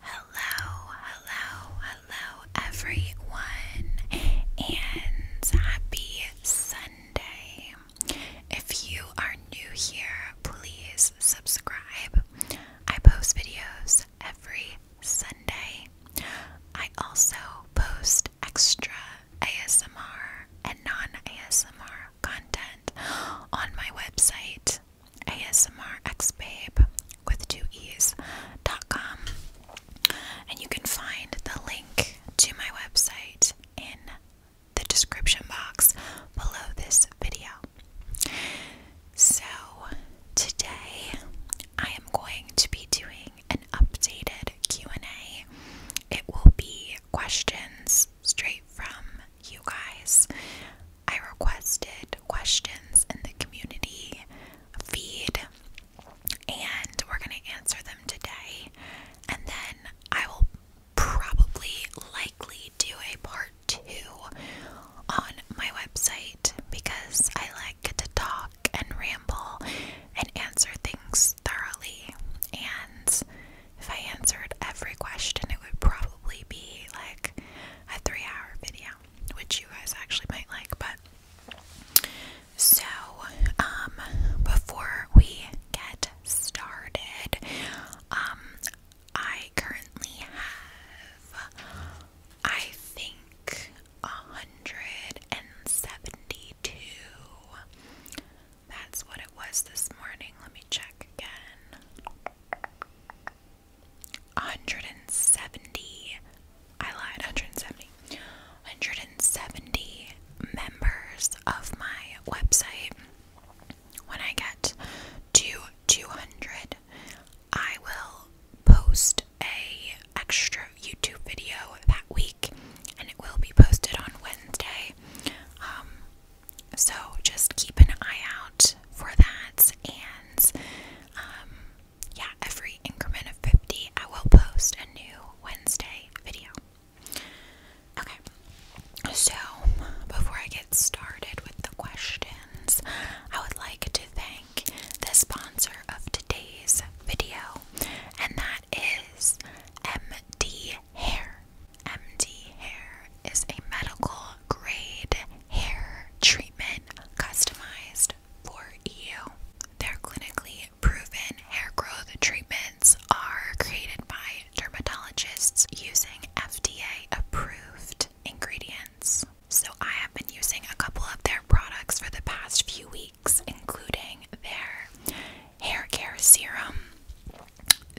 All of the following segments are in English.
Hello, hello, hello, everyone, and happy Sunday. If you are new here, please subscribe. I post videos every Sunday. I also post extra ASMR and non ASMR content on my website ASMRXBabe with two e's.com. And you can find the link to my website in the description box below this video. So, today I am going to be doing an updated Q&A. It will be questions straight from you guys. I requested questions in the community feed, and we're going to answer them today. And then I will probably likely do a part two on my website because I like to talk and ramble and answer things thoroughly. And if I answered every question, it would probably be like a three hour video which you guys actually might like, but so um before we get started, um I currently have I think a hundred and seventy-two. That's what it was this morning. Let me check again. 170 I lied 170 170 members of my website when I get to 200 I will post a extra YouTube video that week and it will be posted on Wednesday um so just keep an eye out for that and um yeah, every increment of 50, I will post a new Wednesday video. Okay, so before I get started with the questions, I would like to thank the sponsor of today's video, and that is MD Hair. MD Hair is a medical grade hair treatment customized for you. Their clinically proven hair growth treatments are created by dermatologists using FDA approved ingredients. So, I have been using a couple of their products for the past few weeks, including their hair care serum,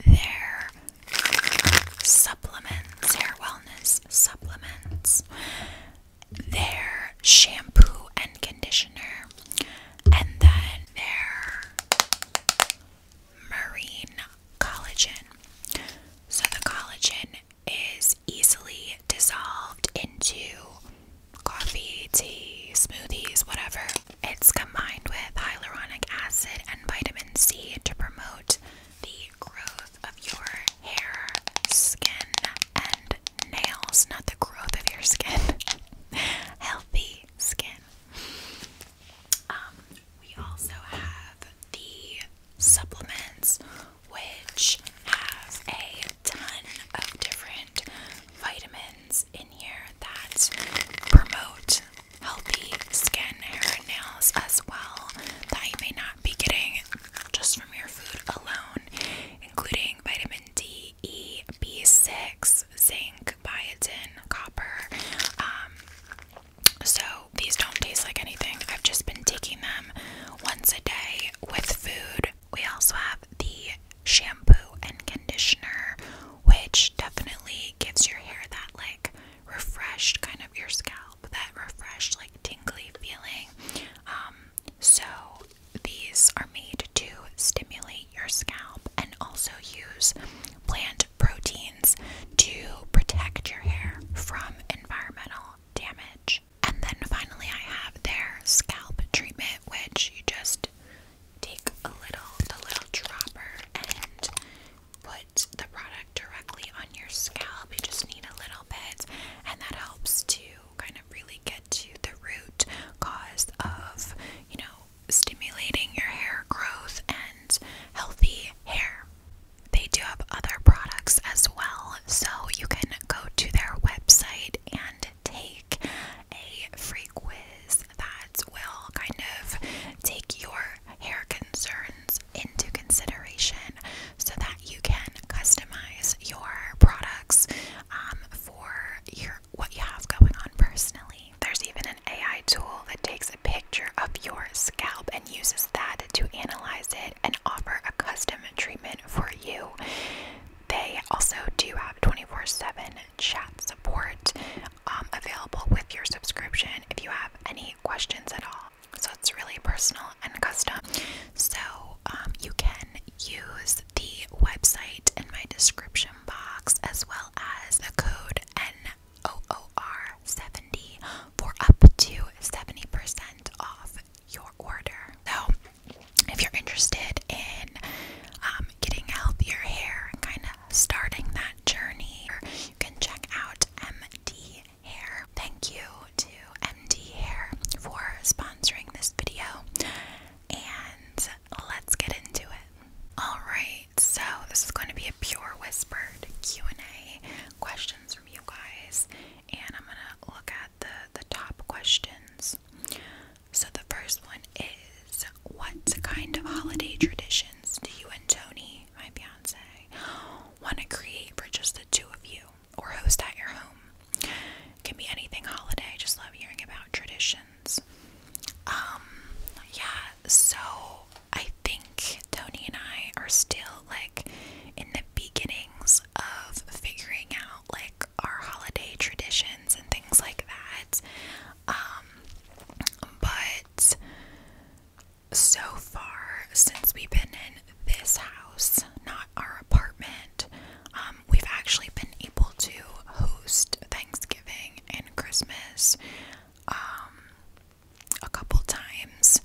their supplements, hair wellness supplements, their shampoo and conditioner, and then their marine collagen. So the collagen is easily dissolved into coffee, tea, smoothies, whatever. It's combined with hyaluronic acid and vitamin C to promote the growth of your hair, skin, and nails, not the growth of your skin. Healthy skin. Um, we also have the supplements, which have a ton of different vitamins in here that promote healthy skin, hair, and nails as well that you may not be getting just from your food alone, including vitamin D, E, B6, zinc, biotin, copper. Um, so these don't taste like anything. I've just been taking them once a day with food. We also have the shampoo and conditioner, which definitely gives your hair that like refreshed kind of your scalp that refreshed, like tingly feeling. Um, so these are made to stimulate your scalp and also use plant proteins to protect your hair from environmental damage. And then finally, I have their scalp treatment, which you just take a little, the little dropper, and put the product directly on your scalp. You just need a little and that helps to kind of really get to the root cause of, you know, stimulating your hair growth and healthy hair. They do have other products as well, so you can go to their website and take a free quiz that will kind of take your hair concerns into consideration so that you can customize your products um, for your what you have going on personally. There's even an AI tool that takes a picture of your scalp and uses that to analyze it and offer a custom treatment for you. They also do have 24 7 chat support um, available with your subscription if you have any questions at all. So it's really personal and custom. So um, you can use the website in my description box as well as the code NOOR70 for up to 70% off your order. So if you're interested in um, getting healthier hair and kind of starting that journey, you can check out MD Hair. Thank you to MD Hair for sponsoring this video, and let's get into it. All right, so this is going to be a pure whispered Q and A questions from you guys, and I'm gonna look at the the top questions. So the first one is, what kind of holiday traditions do you and Tony, my fiance, want to create for just the two of you? or host at your home. can be anything holiday. Just love hearing about traditions. Um, yeah, so I think Tony and I are still like in the beginnings of figuring out like our holiday traditions and things like that. Um, but so far, since we've been in this house, not our apartment, um, we've actually been able to host Thanksgiving and Christmas um, a couple times,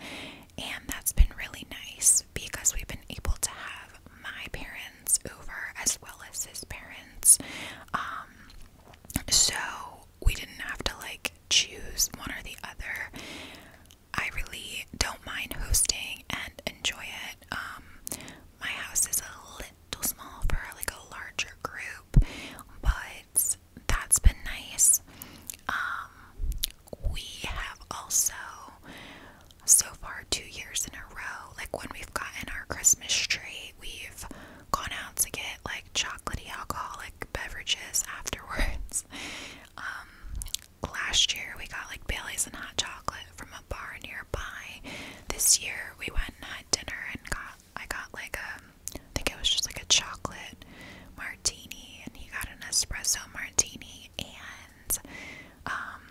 and that's been really nice because we've been able to have my parents over as well as his parents. Um, so we didn't have to like choose one or the other. I really don't mind hosting and enjoy it. Um, my house is a little small for like a larger group, but that's been nice. Um, we have also, so far, two years in a row, like when we've gotten our Christmas tree, we've gone out to get like chocolatey alcoholic beverages afterwards. Um, last year we got like Bailey's and hot chocolate from a bar nearby. This year we went and had dinner and got I got like a I think it was just like a chocolate martini and he got an espresso martini and um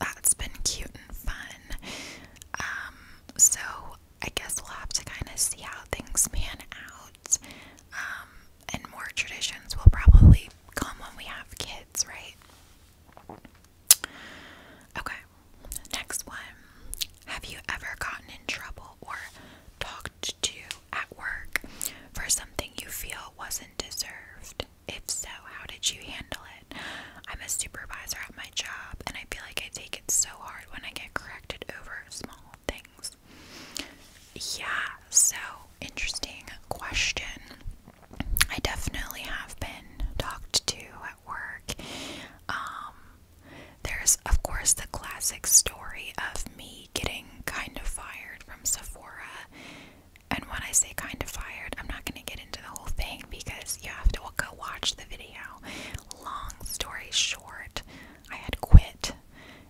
that's been cute and fun. Um so I guess we'll have to kind of see how things pan out. Um and more traditions will probably come when we have kids, right? Okay, next one. Have you ever gotten in trouble or talked to at work for something you feel wasn't deserved? If so, how did you handle it? I'm a supervisor at my job, and I feel like I take it so hard when I get corrected over small things. Yeah, so interesting question. I definitely have been talked to at work. Um, there's, of course, the classic story of me getting kind of fired from Sephora. And when I say kind of fired, I'm not going to get into the whole thing because you have to go watch the video. Long story short, I had quit.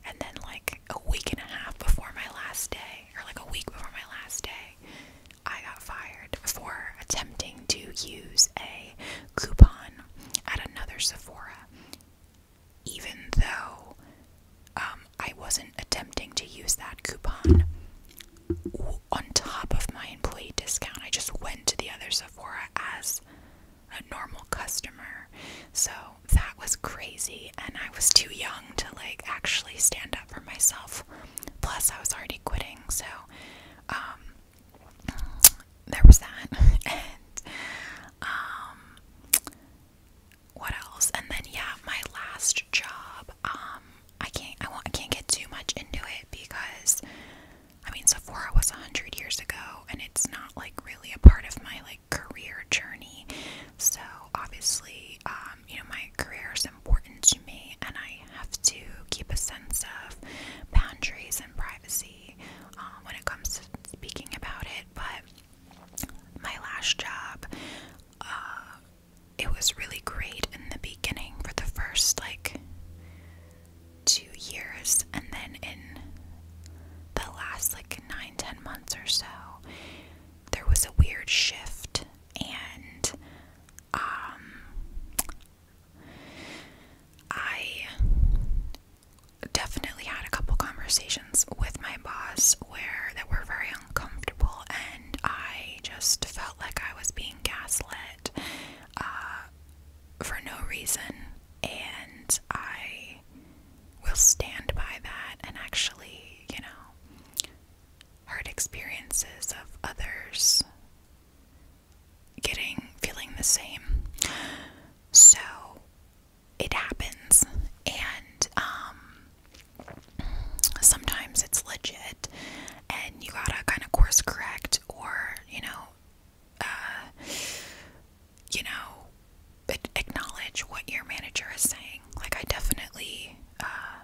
And then, like a week and a half before my last day, or like a week before my last day, I got fired for attempting to use a coupon at another Sephora, even though um, I wasn't attempting to use that coupon on top of my employee discount. I just went to the other Sephora as a normal customer. So that was crazy and I was too young to like actually stand up for myself. Plus I was already quitting, so um there was that. and um what else? And then yeah, my last job, um I can't I want I can't get too much into it because I mean Sephora was a hundred years ago and it's not like really a part of my like career journey. So obviously, um, you know, my career is important to me, and I have to keep a sense of boundaries and privacy um, when it comes to speaking about it. But my last job, uh, it was really great in the beginning for the first like two years, and then in the last like nine, ten months or so, there was a weird shift and um, I definitely had a couple conversations with my boss where that were very uncomfortable and I just felt like I was being gaslit uh, for no reason and I will stand by that and actually, you know, hard experiences of others getting feeling the same. So it happens, and um, sometimes it's legit, and you gotta kind of course correct, or you know, uh, you know, acknowledge what your manager is saying. Like, I definitely uh,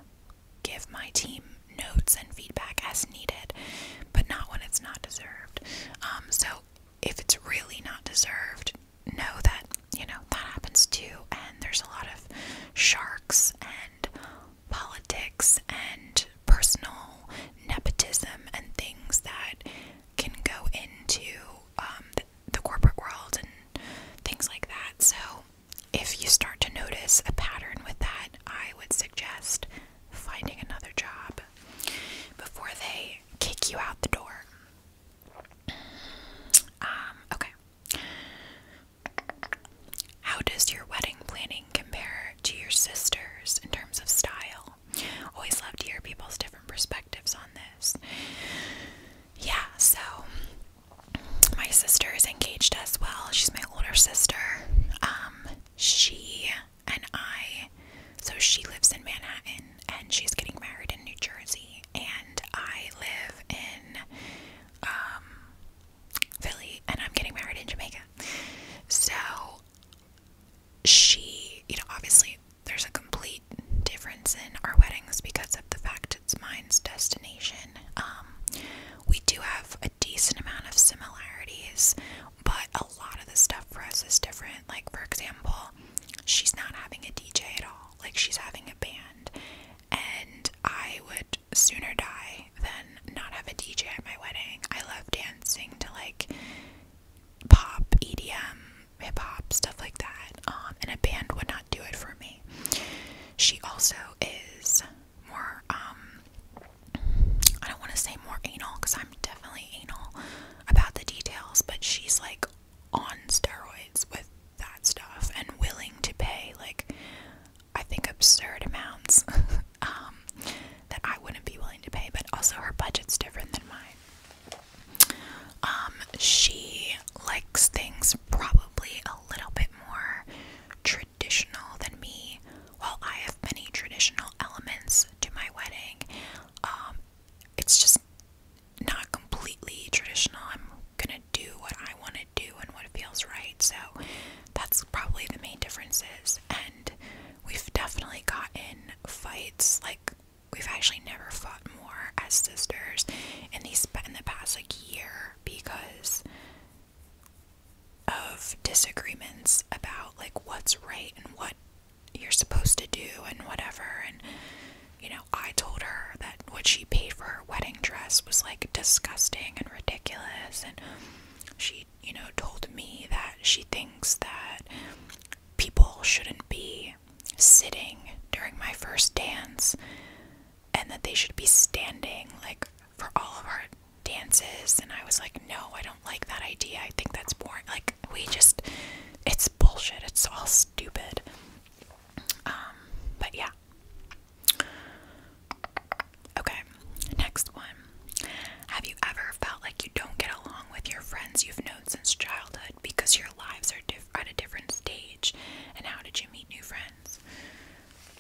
give my team notes and feedback as needed, but not when it's not deserved. Um, so, if it's really not deserved, know that, you know, that happens too. And there's a lot of sharks and politics and personal nepotism and things that can go into um, the, corporate world and things like that. So, if you start to notice a pattern with that, I would suggest finding another job before they kick you out the door. Um, okay. How does your wedding planning compare to your sister's in terms of style? Always love to hear people's different perspectives on this. Yeah, so my sister is engaged as well. She's my older sister. Um, she and I, so she lives in Manhattan and she's getting married in New Jersey, and I live in um, Philly and I'm getting married in Jamaica. So she, you know, obviously there's a complete difference in our weddings because of the fact its mind's destination. Um, we do have a decent amount of similarities, but a lot of the stuff for us is different. Like, for example, she's not having a DJ at all, like, she's having a band, and I would sooner die than not have a DJ at my wedding. I love dancing to like pop, EDM, hip hop, stuff like that, um, and a band would not do it for me. She also is more, um, I don't want to say more anal because I'm definitely anal about the details, but she's like on steroids with that stuff and willing to pay like I think absurd amounts um, that I wouldn't be willing to pay, but also her budget's different than mine. Um, she likes things probably a little bit more traditional than me. While I have many traditional elements to my wedding, um, it's just not completely traditional. I'm gonna do what I want to do and what feels right. So that's probably the main differences. And we've definitely gotten fights. Like we've actually never fought more as sisters in these in the past like year because of disagreements about like what's right and what you're supposed to do and whatever and you know I told her that what she paid for her wedding dress was like disgusting and ridiculous and she you know told me that she thinks that people shouldn't be sitting during my first dance and that they should be standing like for all of our dances and I was like no I don't like that idea I think that's boring like we just it's bullshit it's all stupid um but yeah okay next one have you ever felt like you don't get along with your friends you've known since childhood because your lives are diff at a different stage and how did you meet new friends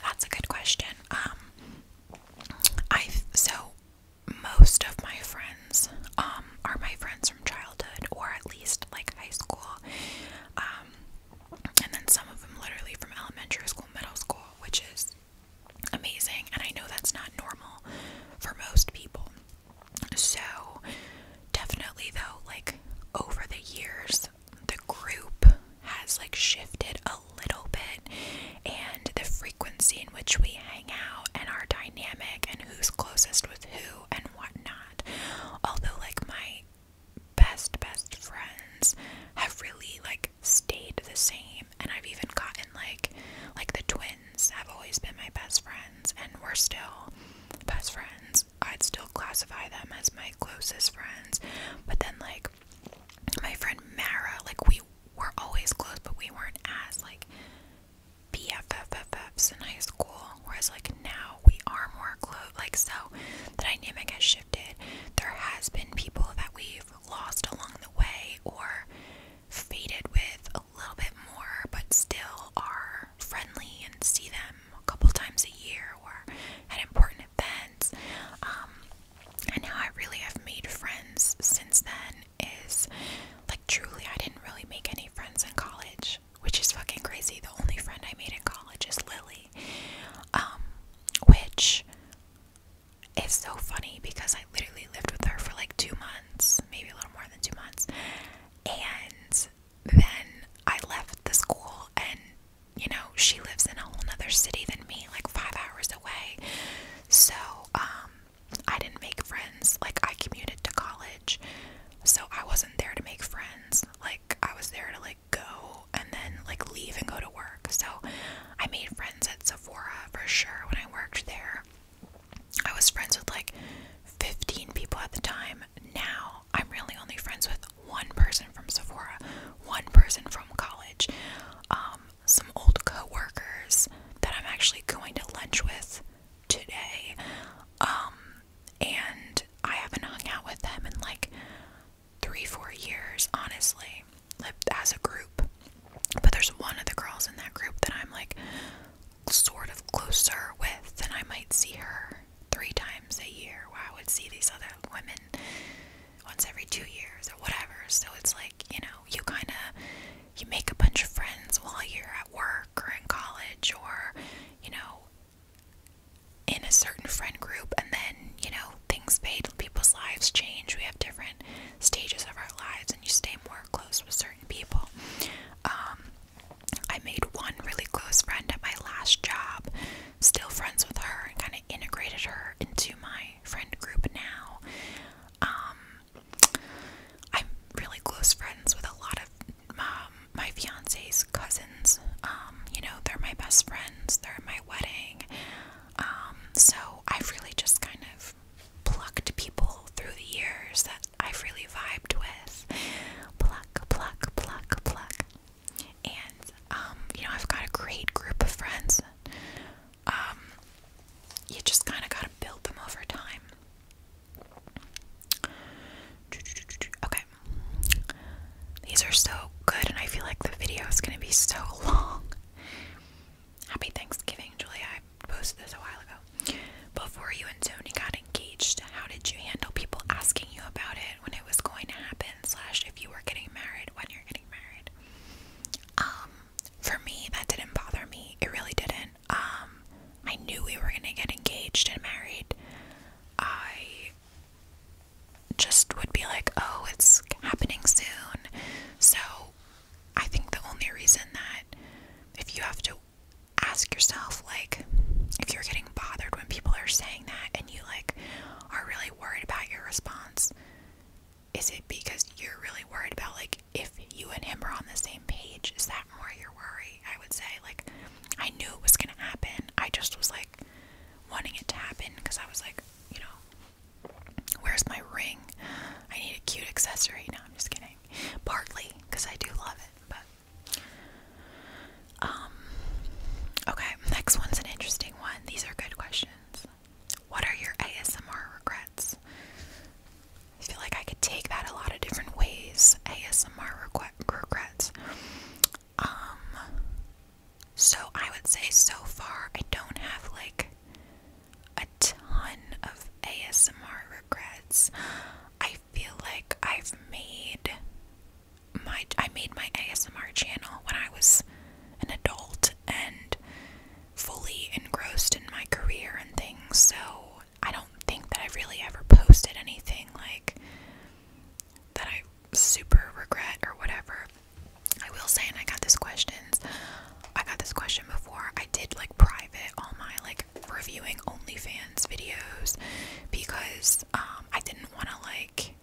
that's a good question. Um, I so most of my friends um, are my friends from childhood or at least like high school. Um, and then some of them literally from elementary school, middle school, which is amazing. And I know that's not normal for most people. So definitely though, like over the years, the group has like shifted a little bit and the frequency in which we hang out and our dynamic and who's closest with who and whatnot. Although like my best best friends have really like stayed the same and I've even gotten like like the twins have always been my best friends and we're still best friends I'd still classify them as my closest friends. But then like my friend Mara, like we were always close, but we weren't as like BFFFs in high school. Whereas like now we are more close. Like so, the dynamic has shifted. There has been people that we've lost along the way or faded with a little bit more, but still are friendly and see them a couple times a year or at important events. Um, and how I really have made friends since then is like truly, I didn't really make any friends in college, which is fucking crazy. The only friend I made in college is Lily, um, which is so funny because I literally lived with her for like two months, maybe a little more than two months, and then I left the school and you know, she lives in a whole other city than me, like five hours away. So, um, I didn't make friends. Like, I commuted to college. So, I wasn't there to make friends. Like, I was there to, like, go and then, like, leave and go to work. So, I made friends at Sephora for sure when I worked there. I was friends with, like, 15 people at the time time now, I'm really only friends with one person from Sephora, one person from college, um, some old coworkers that I'm actually going to lunch with today, um, and I haven't hung out with them in like three, four years, honestly, like as a group. But there's one of the girls in that group that I'm like sort of closer with, and I might see her year, three times a year, where I would see these other women once every two years or whatever. So it's like, you know, you kind of you make a bunch of friends while you're at work or in college or, you know, in a certain friend group and then, you know, things fade, people's lives change. We have different stages of our lives and you stay more close with certain people. Um I made one really close friend at my last job still friends with her and kind of integrated her into my friend group now. Um, I'm really close friends with a lot of um, my fiance's cousins. Um, you know, they're my best friends, they're at my wedding. so I've really just kind of plucked people through the years that I've really vibed with. Pluck, pluck, pluck, pluck and um, you know I've got a great group of friends. Um, you just kind of got to build them over time. Okay, these are so good, and I feel like the video is going to be so long. Happy Thanksgiving, Julia. I posted this a while ago. Before you and Tony got engaged, how did you handle people asking you about it when it was going to happen? slash if you were getting married when you're getting married um, for me that didn't bother me it really didn't um, i knew we were gonna get engaged and married i just would be like oh it's happening soon so i think the only reason that if you have to ask yourself like if you're getting bothered when people are saying that and you like are really worried about your response is it because you're really worried about like if you and him are on the same page is that more your worry i would say like i knew it was going to happen i just was like wanting it to happen because i was like you know where's my ring i need a cute accessory no i'm just kidding partly because i do love it but um, okay, next one's an interesting one. These are good questions. What are your ASMR regrets? I feel like I could take that a lot of different ways. ASMR regrets. Um, so I would say so far I don't have like a ton of ASMR regrets. I feel like I've made my I made my ASMR channel when I was an adult and fully engrossed in my career and things. So I don't think that I've really ever posted anything like that I super regret or whatever. I will say, and I got this questions. I got this question before. I did like private all my like reviewing OnlyFans videos because um, I didn't want to like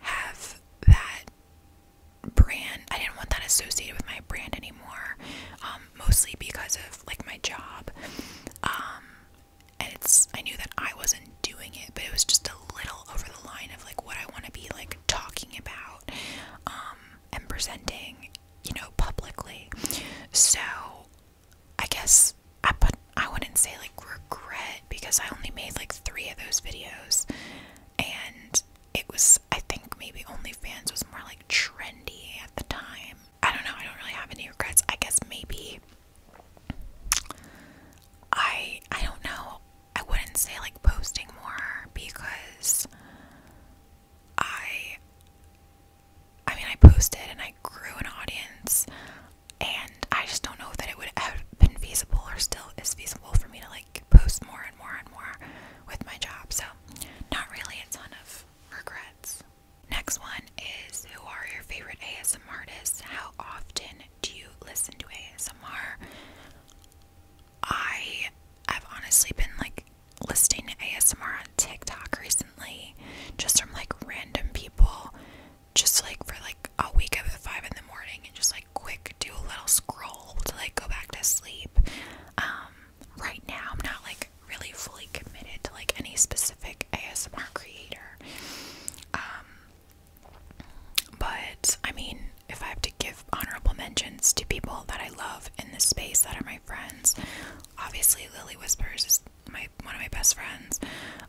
have that brand. I didn't want that associated with my brand anymore, um, mostly because of like my job. Um, and it's I knew that I wasn't doing it, but it was just a little over the line of like what I want to be like talking about um, and presenting, you know, publicly. So I guess I put I wouldn't say like regret because I only made like three of those videos and it was I think maybe OnlyFans was more like trendy at the time. I don't know, I don't really have any regrets. I guess maybe I I don't know. I wouldn't say like posting more because I I mean I posted and I grew an audience and I just don't know that it would have been feasible or still is feasible for me to like post more and more and more with my job. So, not really a ton of regrets. Next one is Who are your favorite ASMR artists? How often do you listen to ASMR? I have honestly been like listening to ASMR on TikTok recently, just from like random people just like for like a week, wake up five in the morning and just like quick do a little scroll to like go back to sleep. Um, right now I'm not like really fully committed to like any specific ASMR creator. Um, but I mean, if I have to give honorable mentions to people that I love in this space that are my friends, obviously Lily Whispers is my one of my best friends,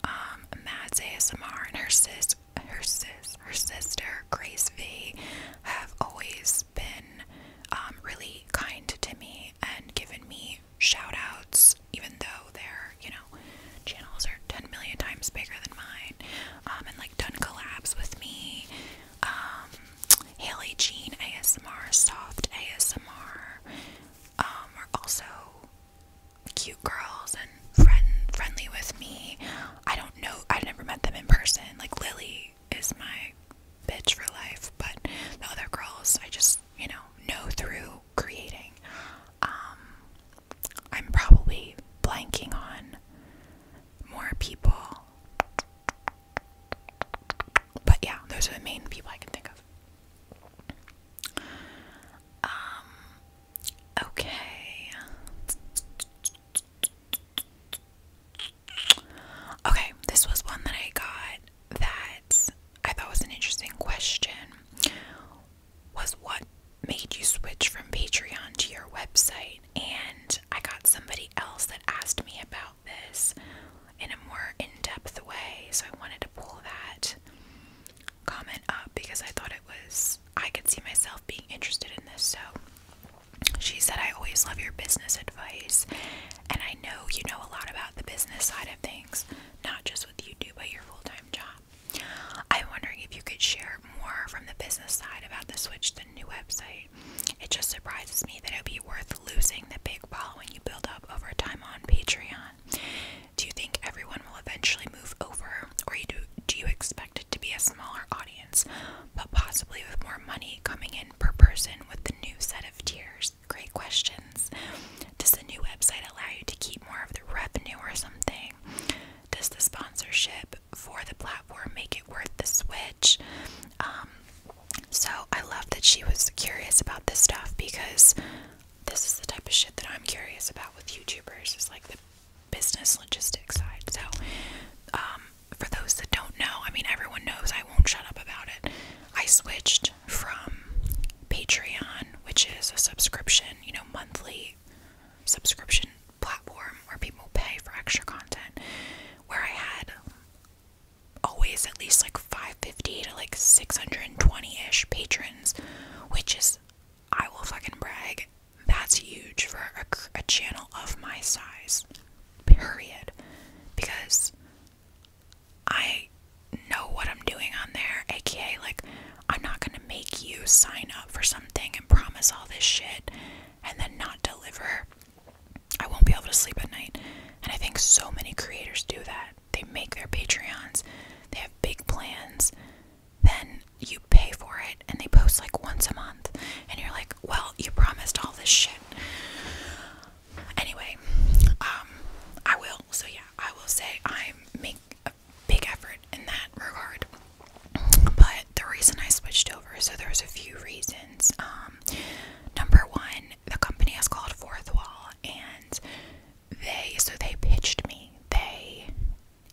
um, Mads ASMR and her sis her sis her sister Grace V have always been um, really kind to me and given me shoutouts. even though their, you know, channels are ten million times bigger than mine. Um, and like done collabs with me. Um, Haley Jean ASMR, Soft ASMR, are also cute girls and friend friendly with me. I don't know. I have never met them in person. Like Lily is my bitch for life, but the other girls I just, you know, know through creating. Um, I'm probably blanking on more people. But yeah, those are the main people I can think of. Um Okay. Okay, this was one that I got that I thought was an interesting question. Was what made you switch from Patreon to your website? And I got somebody else that asked me about this in a more in depth way, so I wanted to pull that comment up because I thought it was I could see myself being interested in this. So she said, I always love your business advice, and I know you know a lot about the business side of things, not just what you do, but your full time job. I'm wondering if you could share more from the business side about the switch to the new website. It just surprises me that it would be worth losing the big following you build up over time on Patreon. Do you think everyone will eventually move over, or do, do you expect it to be a smaller audience, but possibly with more money coming in per person with the new set of tiers? Great questions. Does the new website allow you to keep more of the revenue or something? Does the sponsorship for the platform make it worth the switch? Um, so I love that she was curious about this stuff because this is the type of shit that I'm curious about with YouTubers It's like the business logistics side. So, um, for those that don't know, I mean, everyone knows I won't shut up about it. I switched from Patreon, which is a subscription, you know, monthly subscription platform where people pay for extra content, where I had always at least like 550 to like 620 ish patrons, which is I will fucking brag. That's huge for a, channel of my size. Period. Because I know what I'm doing on there, aka, like, I'm not gonna make you sign up for something and promise all this shit and then not deliver. I won't be able to sleep at night. And I think so many creators do that. They make their Patreons, they have big plans, then you pay for it and they post like once a month and you're like, well, you promised all this shit. Anyway, um, I will. So yeah, I will say I make a big effort in that regard. But the reason I switched over, so there's a few reasons. Um, number one, the company is called Fourth Wall, and they so they pitched me. They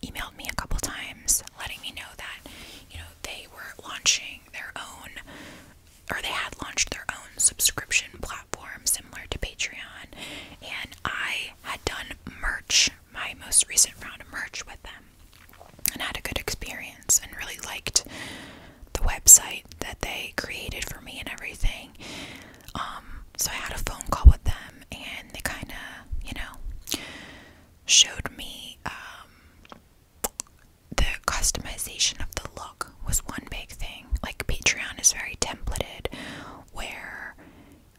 emailed me a couple times letting me know that, you know, they were launching their own or they had launched their own subscription platform similar to Patreon and I had done merch, my most recent round of merch with them and had a good experience and really liked the website that they created for me and everything. Um so I had a phone call with them and they kind of, you know, showed me um, the customization of the look was one big thing. Like Patreon is very templated, where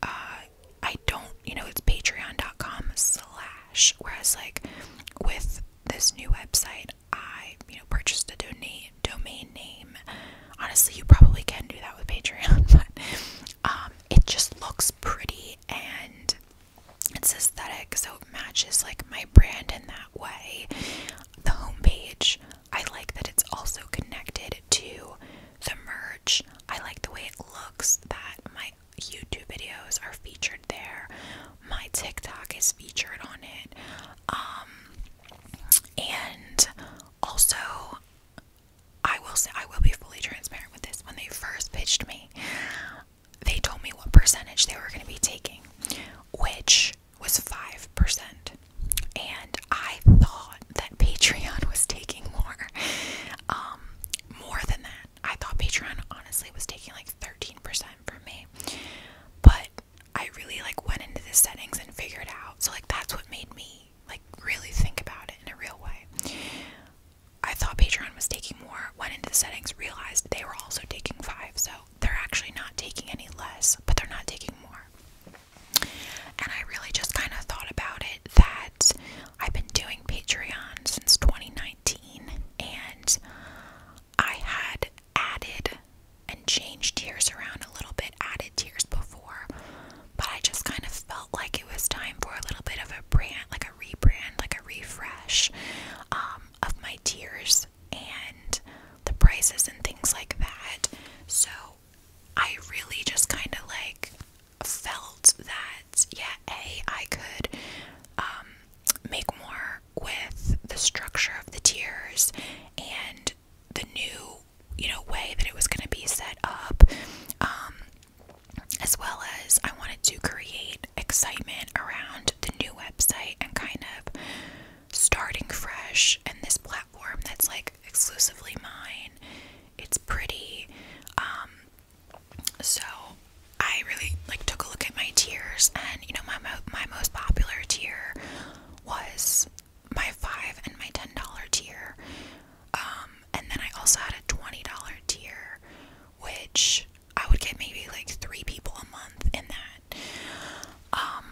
uh, I don't, you know, it's Patreon.com/slash. Whereas like with this new website, I you know purchased a donate domain name. Honestly, you probably can do that with Patreon, but um, it just looks pretty and it's aesthetic, so it matches like my brand in that way. The homepage, I like that it's also connected to the merch. I like the way it looks that my YouTube videos are featured there. My TikTok is featured on it. Um, and also I will say I will be fully transparent with this. When they first pitched me, they told me what percentage they were going to be taking, which was 5%. And I thought that Patreon was taking more. Um more than that. I thought Patreon honestly was taking like 13% from me. But I really like went into the settings and figured out. So like that's what made me like really think about it in a real way. I thought Patreon was taking more, went into the settings, realized they were also taking five, so they're actually not taking any less, but they're not taking more. And I really just kind of thought about it that I've been doing Patreon since 2019, and I had added and changed tiers around a little bit, added tiers before but I just kind of felt like it was time for a little bit of a brand, like a rebrand, like a refresh um, of my tiers and the prices and things like that. So I really just kind of like felt that, yeah, A, I could um, make more with the structure of the tiers and the new you know way that it was going to be set up um, as well as I wanted to create excitement around the new website and kind of starting fresh and this platform that's like exclusively mine. It's pretty. Um, so I really like took a look at my tiers and you know my my most popular tier was my 5 and my $10 tier. Um, and then I also had a $20 tier, which I would get maybe like three people a month in that. Um,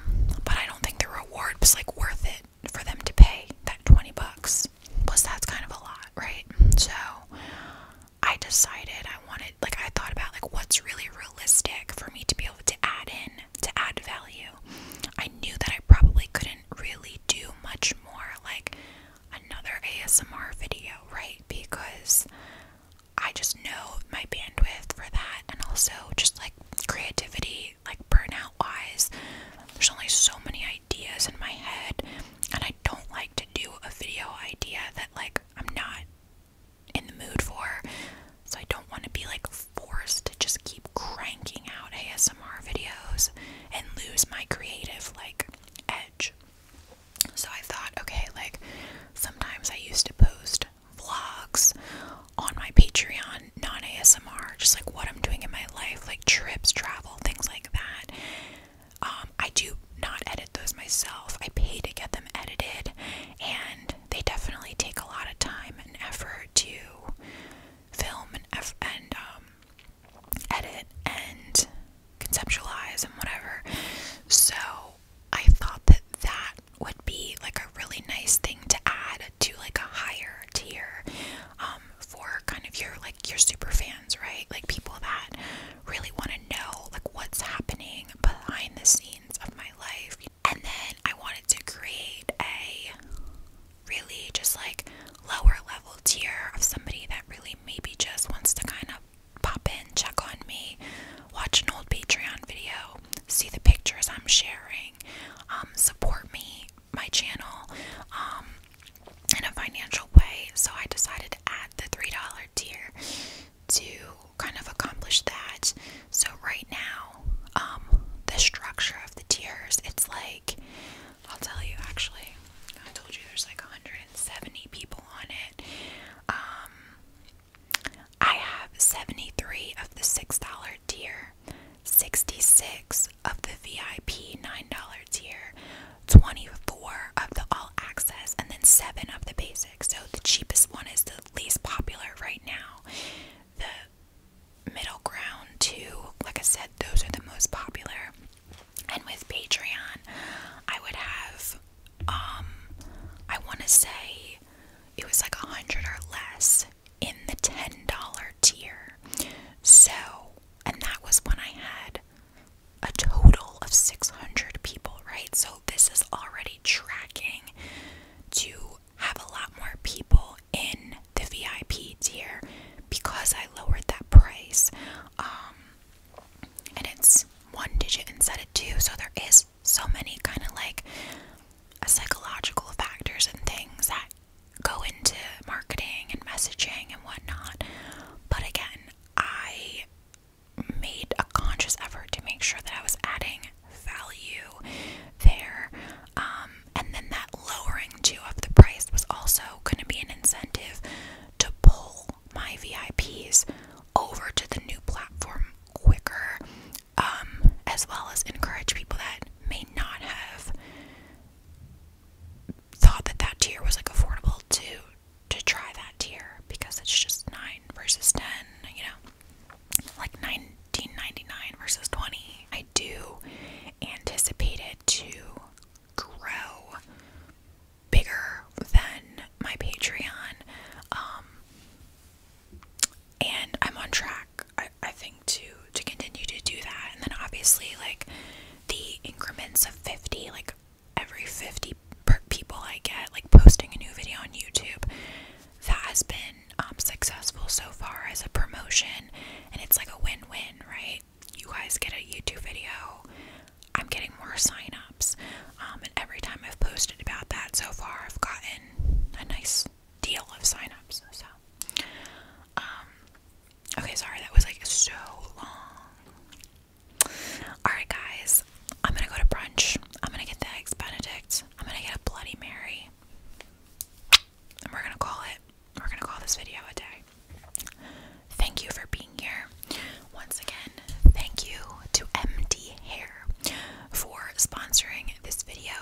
but I don't think the reward was like worth it for them to pay that 20 bucks. Plus, that's kind of a lot, right? So I decided I wanted, like, I thought about like what's really realistic for me to be able to add in, to add value. I knew that I probably couldn't really do much more like another ASMR video, right? Because I just know my bandwidth for that, and also just like creativity, like burnout wise, there's only so many ideas in my head, and I don't like to do a video idea that like I'm not in the mood for. So I don't want to be like forced to just keep cranking out ASMR ASMR videos and lose my creative like edge. So I thought, okay, like sometimes I used to post vlogs on my Patreon, non ASMR, just like what I'm doing in my life, like trips, travel, things like that. Um, I do not edit those myself. I pay to get them edited, and they definitely take a lot of time and effort to film and, um, edit and conceptualize and whatever. So I thought that that would be like a really nice thing to add to like a higher tier um, for kind of your like your super fans, right? Like people that really want to know like what's happening behind the scenes of my life. And then I wanted to create a really just like lower level tier of somebody that really maybe just wants to kind of pop in, check on me, watch an old Patreon video, see the pictures I'm sharing, um, support me, my channel, um, in a financial way. So I decided to add the $3 tier to kind of accomplish that. So right now, um, the structure of the tiers, it's like I'll tell you actually. I told you there's like 170 people on it. Um, I have 73 of the $6 tier, 66 of the VIP $9 tier, 24 of the all access, and then 7 of the basics. So the cheapest one is the least popular right now. The middle ground, too, like I said, those are the most popular. And with Patreon, I would have um I want to say it was like a hundred or less in the ten dollar tier. So, and that was when I had a total of 600 people, right? So, this is already tracking to have a lot more people in the VIP tier because I lowered that price. Um, and it's one digit instead of two, so there is so many kind of like psychological factors and things that go into marketing and messaging and whatnot. But again, I made a conscious effort to make sure that I was adding value there. Um, and then that lowering thing of the price was also going to be an incentive to pull my VIPs over to the new platform quicker, um, as well as encourage people that may not have thought that that tier was like affordable to to try that tier because it's just nine versus ten, you know, like nineteen ninety nine versus twenty. I do anticipate it to grow bigger than my Patreon. Um, and I'm on track, I, I think, to to continue to do that. And then obviously, like the increments of 50, like every 50 people I get, like posting a new video on YouTube, that has been um, successful so far as a promotion, and it's like a win-win, right? you guys get a YouTube video, I'm getting more signups. Um, and every time I've posted about that so far, I've gotten a nice deal of signups. So, um, okay, sorry, that was like so long. Alright, guys, I'm gonna go to brunch. I'm gonna get the Eggs Benedict. I'm gonna get a Bloody Mary. And we're gonna call it we're gonna call this video a day. Thank you for being here. Once again, thank you to MD Hair for sponsoring this video.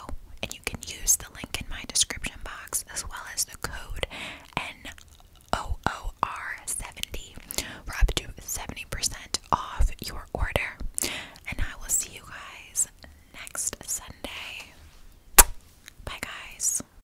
And you can use the link in my description box as well as the code NOOR70 up to 70% off your order. And I will see you guys next Sunday. Bye, guys.